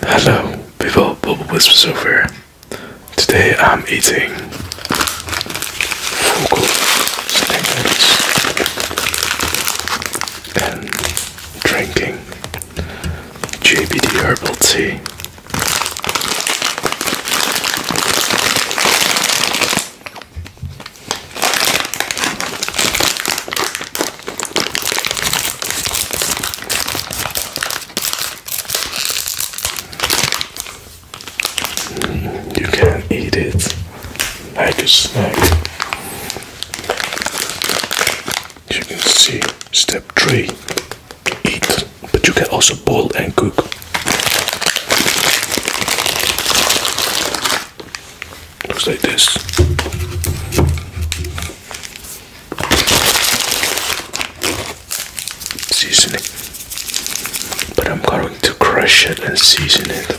Hello, people, Bubble Whispers over. Today I'm eating Fugu snack and drinking JBD herbal tea. You can eat it like a snack. You can see step three eat, but you can also boil and cook. Looks like this. Season But I'm going to crush it and season it.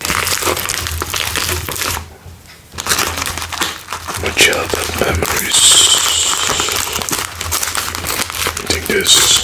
My childhood memories. Take this.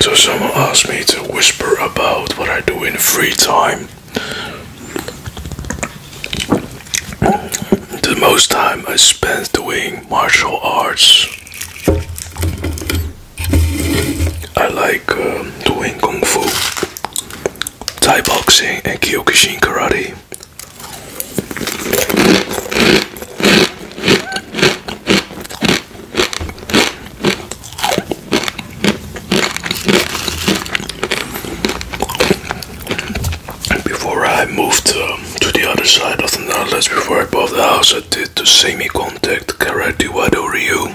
So someone asked me to whisper about what I do in free time. The most time I spend doing martial arts. I like um, doing kung fu, Thai boxing, and Kyokushin karate. Before I moved um, to the other side of the Netherlands, before I bought the house, I did the semi contact karate wado you.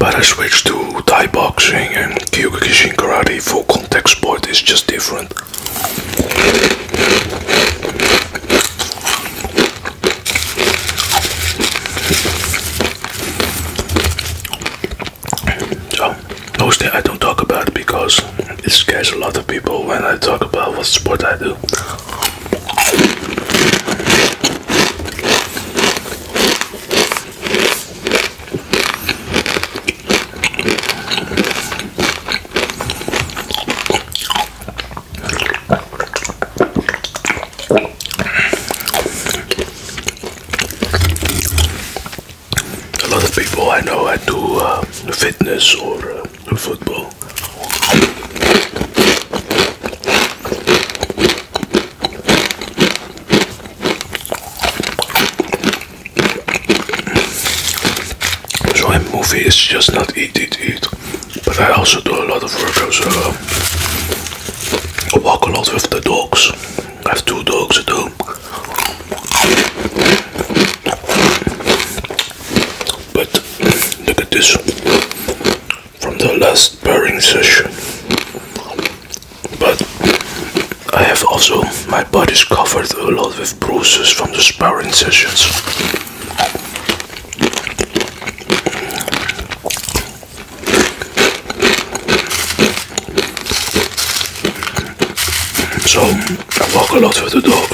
But I switched to Thai boxing and Kyokushin karate for contact sport is just different. So, mostly I don't talk about because it scares a lot of people when I talk about what sport I do. A lot of people I know I do uh, fitness or uh, football. So a movie is just not eat, eat, eat. But I also do a lot of workouts. Uh, I walk a lot with the dogs. I have two dogs at home. But look at this from the last pairing session. But I have also, my body is covered a lot with bruises from the sparring sessions. So I walk a lot with the dogs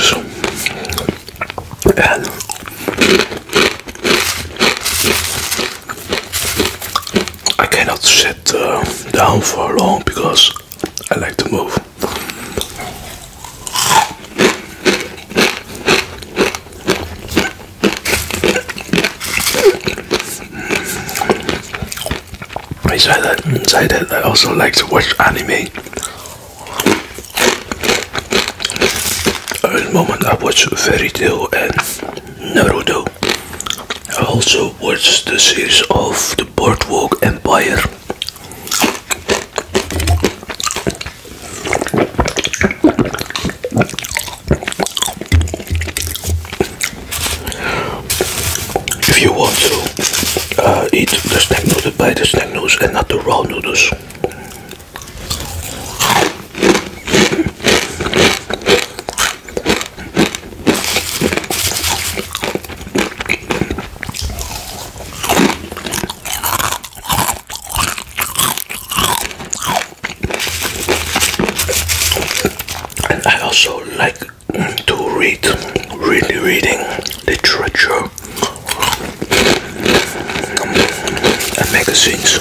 I cannot sit uh, down for long because I like to move. Inside that, I also like to watch anime. At the moment I watch Fairy Tail and Naruto. I also watch the series of the Boardwalk Empire. If you want to uh, eat the snack noodles, buy the snack noodles and not the raw noodles. And I also like to read, really reading literature um, and magazines.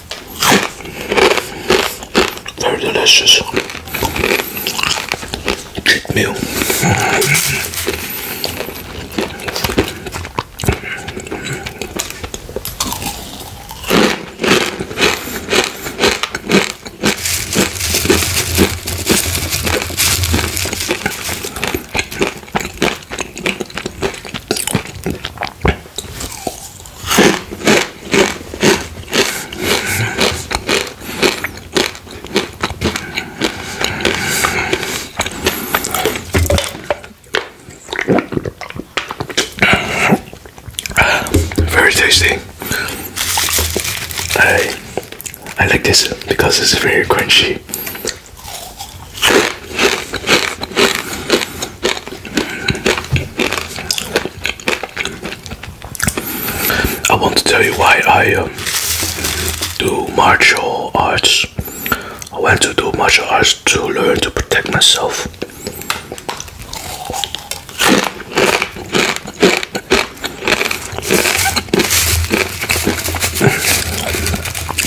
Very delicious. Cheat meal. Very tasty. I I like this because it's very crunchy. I want to tell you why I um, do martial arts. I want to do martial arts to learn to protect myself.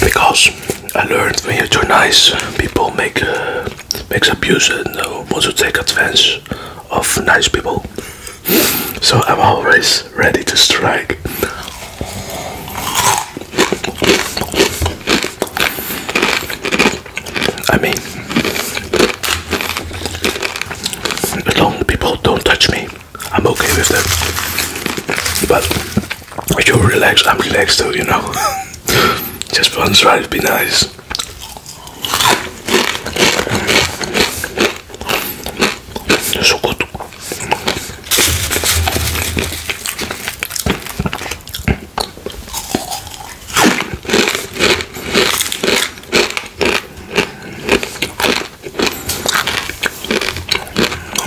Because I learned when you nice, people make uh, makes abuse and wants to take advantage of nice people. So I'm always ready to strike. I mean, as long people don't touch me, I'm okay with them. But if you are relaxed, I'm relaxed too, you know. Just one try would be nice. So good.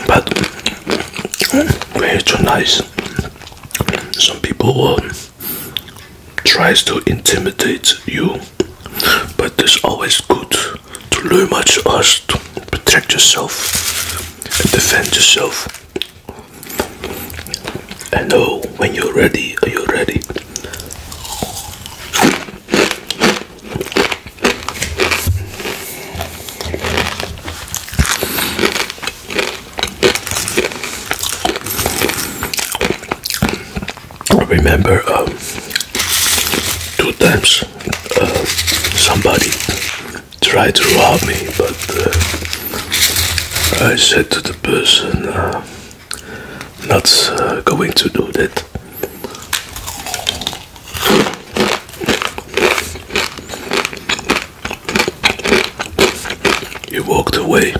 But very too nice some people will um, tries to intimidate you but it's always good to learn much us to protect yourself and defend yourself and know when you're ready are you ready remember um, two times um, somebody tried to rob me, but uh, I said to the person, uh, not uh, going to do that. You walked away.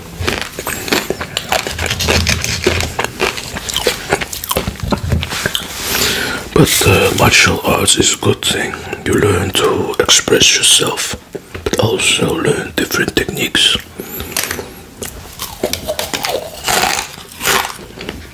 But uh, martial arts is a good thing. You learn to express yourself, but also learn different techniques.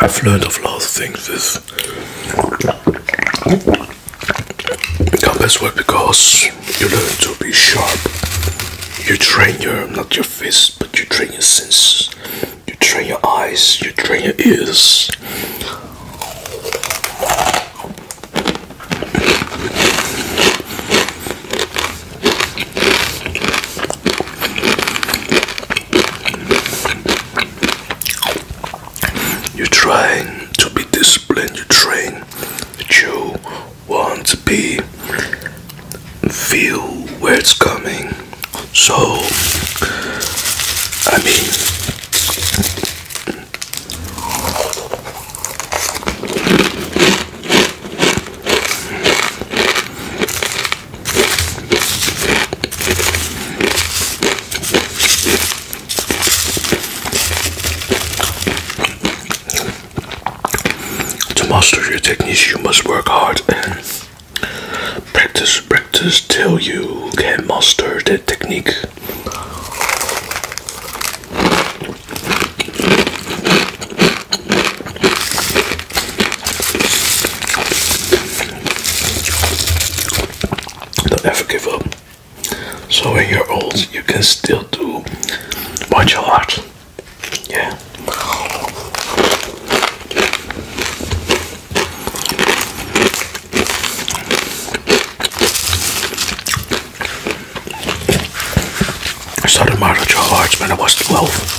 I've learned of lots of things this compass work because you learn to be sharp. You train your not your fists, but you train your senses. You train your eyes. You train your ears. You're trying to be disciplined, you train, but you want to be feel where it's coming. So I mean to master your techniques, you must work hard and practice, practice till you can master the technique. Don't ever give up. So when you're old, you can still do what you heart. Yeah. I started your arts when I was 12.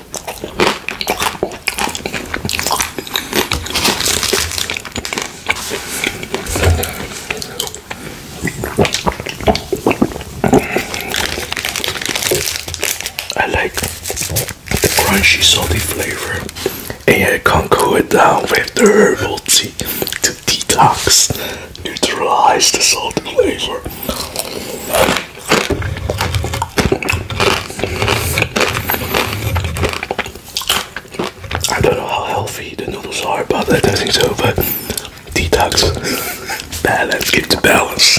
I like the crunchy salty flavor, and I can cool it down with herbal tea to detox, neutralize the salty flavor. I don't know how healthy the noodles are, but I don't think so. But detox, balance, give the balance.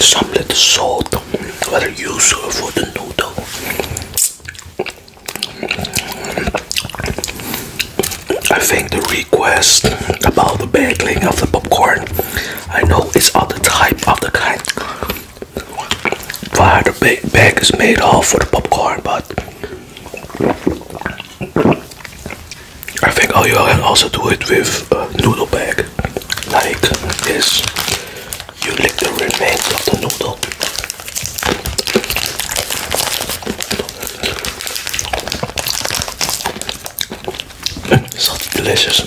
some little salt that er I use for the noodle. I think the request about the bagging of the popcorn, I know it's other type of the kind why the bag is made of for the popcorn, but I think all you can also do it with noodle bag like this. You lick the remains of the noodle. Mm, so delicious.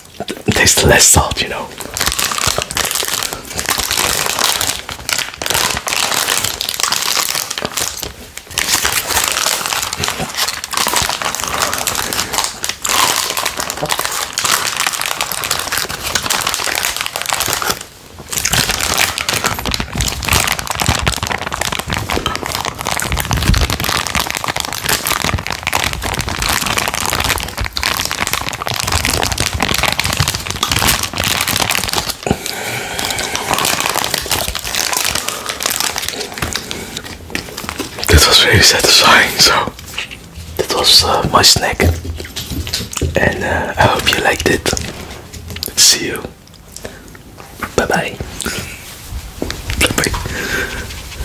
tastes less salt, you know. This was very satisfying, so that was uh, my snack, and uh, I hope you liked it. See you. Bye bye. Bye bye.